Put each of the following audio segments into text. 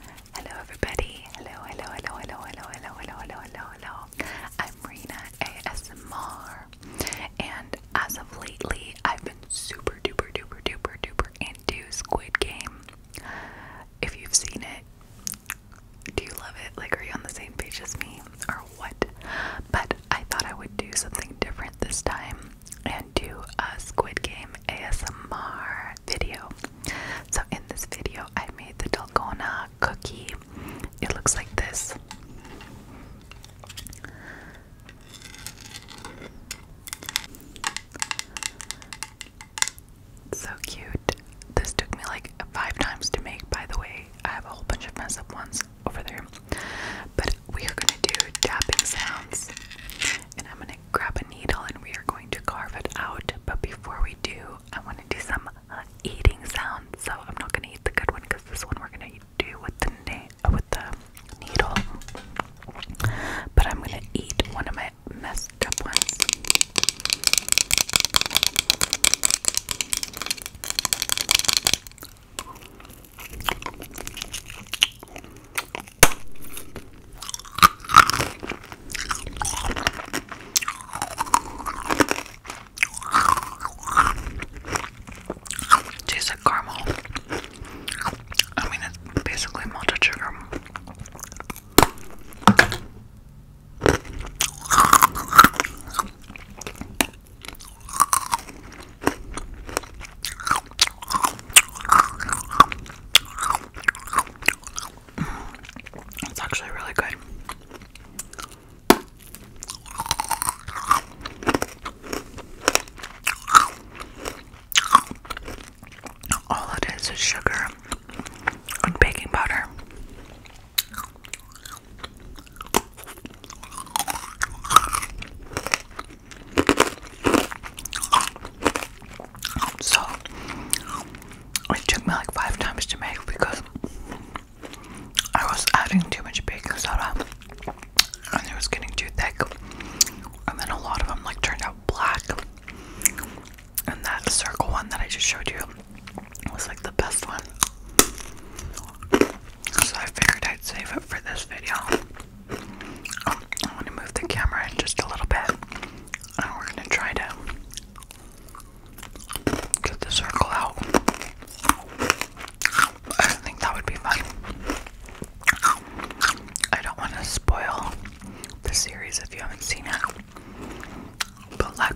Hello everybody. Hello, hello, hello, hello, hello, hello, hello, hello, hello, hello. I'm Rena ASMR. And as of lately, I've been super duper duper duper duper into Squid Game. If you've seen it, do you love it? Like are you on the same page as me or what? But I thought I would do something different this time. And and do a Squid Game ASMR video. So, in this video, I made the Dalgona cookie. It looks like this. So cute. This took me like five times to make, by the way. I have a whole bunch of mess up ones over there. But we are going to do tapping sounds. And I'm going to to grab a needle and we are going to carve it out. But before we do, I want to do some eating sounds. So I'm not going to eat the good one because this one we're going to do with the uh, with the needle. But I'm going to eat one of my messed up ones. Tastes like caramel. I mean, it's basically malted sugar. Mm, it's actually really good. All it is is sugar and baking powder. So it took me like five times to make because I was adding too much baking soda and it was getting too thick. And then a lot of them like turned out black. And that circle one that I just showed you was like the best one. So I figured I'd save it for this video. I want to move the camera just a little bit, and we're going to try to get the circle out. I think that would be fun. I don't want to spoil the series if you haven't seen it, but like,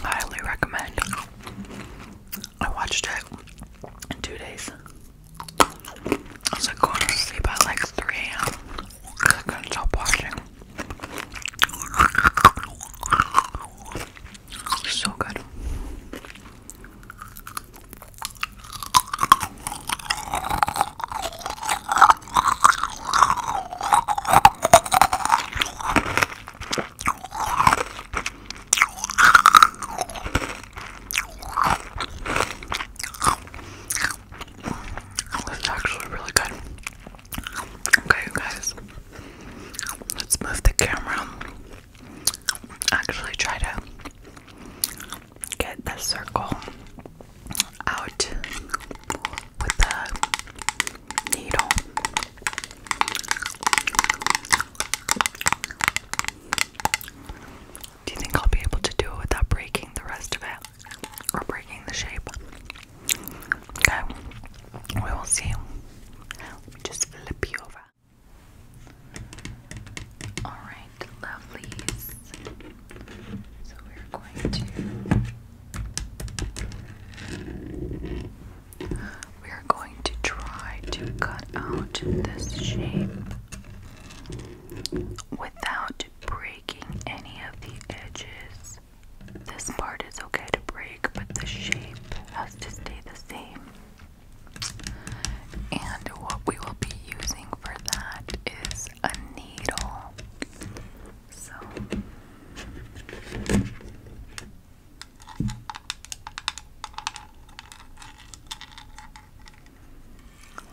highly recommend. I watched it in two days. I was like going to sleep at like 3 a.m. I couldn't stop watching. So good. That's actually really good. Okay, guys, let's move the camera. Actually, try to get the circle out with the needle. Do you think I'll be able to do it without breaking the rest of it? Or breaking the shape? Okay, we will see. just flip you over. Alright, lovelies. So we're going to we are going to try to cut out this shape without breaking any of the edges. This part is okay to break, but the shape has to stay the same. And what we will be using for that is a needle. So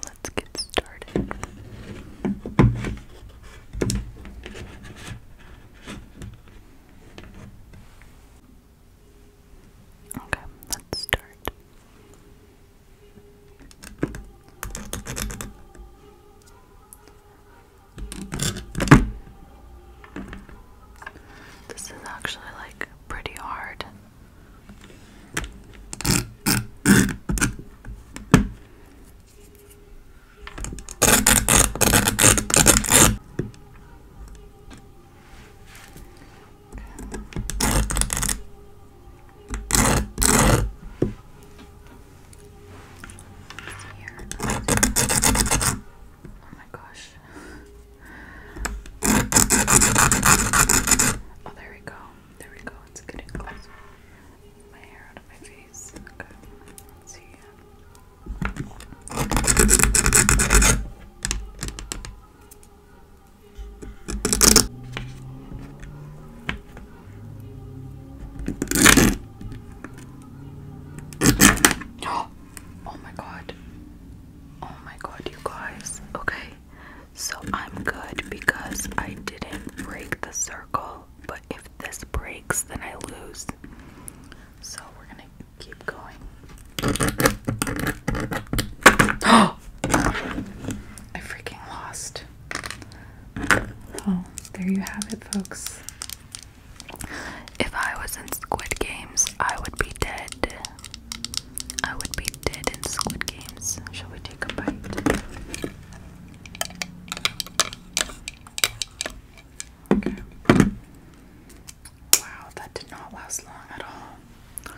Let's get started. Okay, let's start. This is actually like pretty hard. Oh my gosh. oh, there we go. There we go. It's getting close. My hair out of my face. Okay. see. oh my god. Oh my god, you guys. Okay. So I'm good because I didn't break the circle, but if this breaks, then I lose. So we're gonna keep going. I freaking lost. Oh, there you have it, folks. If I was in Squid Games, I would be dead. I would be dead in Squid Games. Shall we take a bite? Wow, that did not last long at all.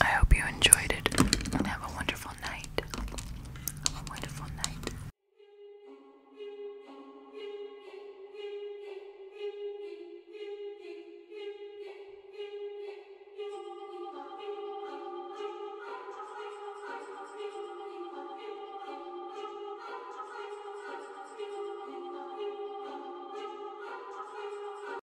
I hope you enjoyed it and have a wonderful night. wonderful night.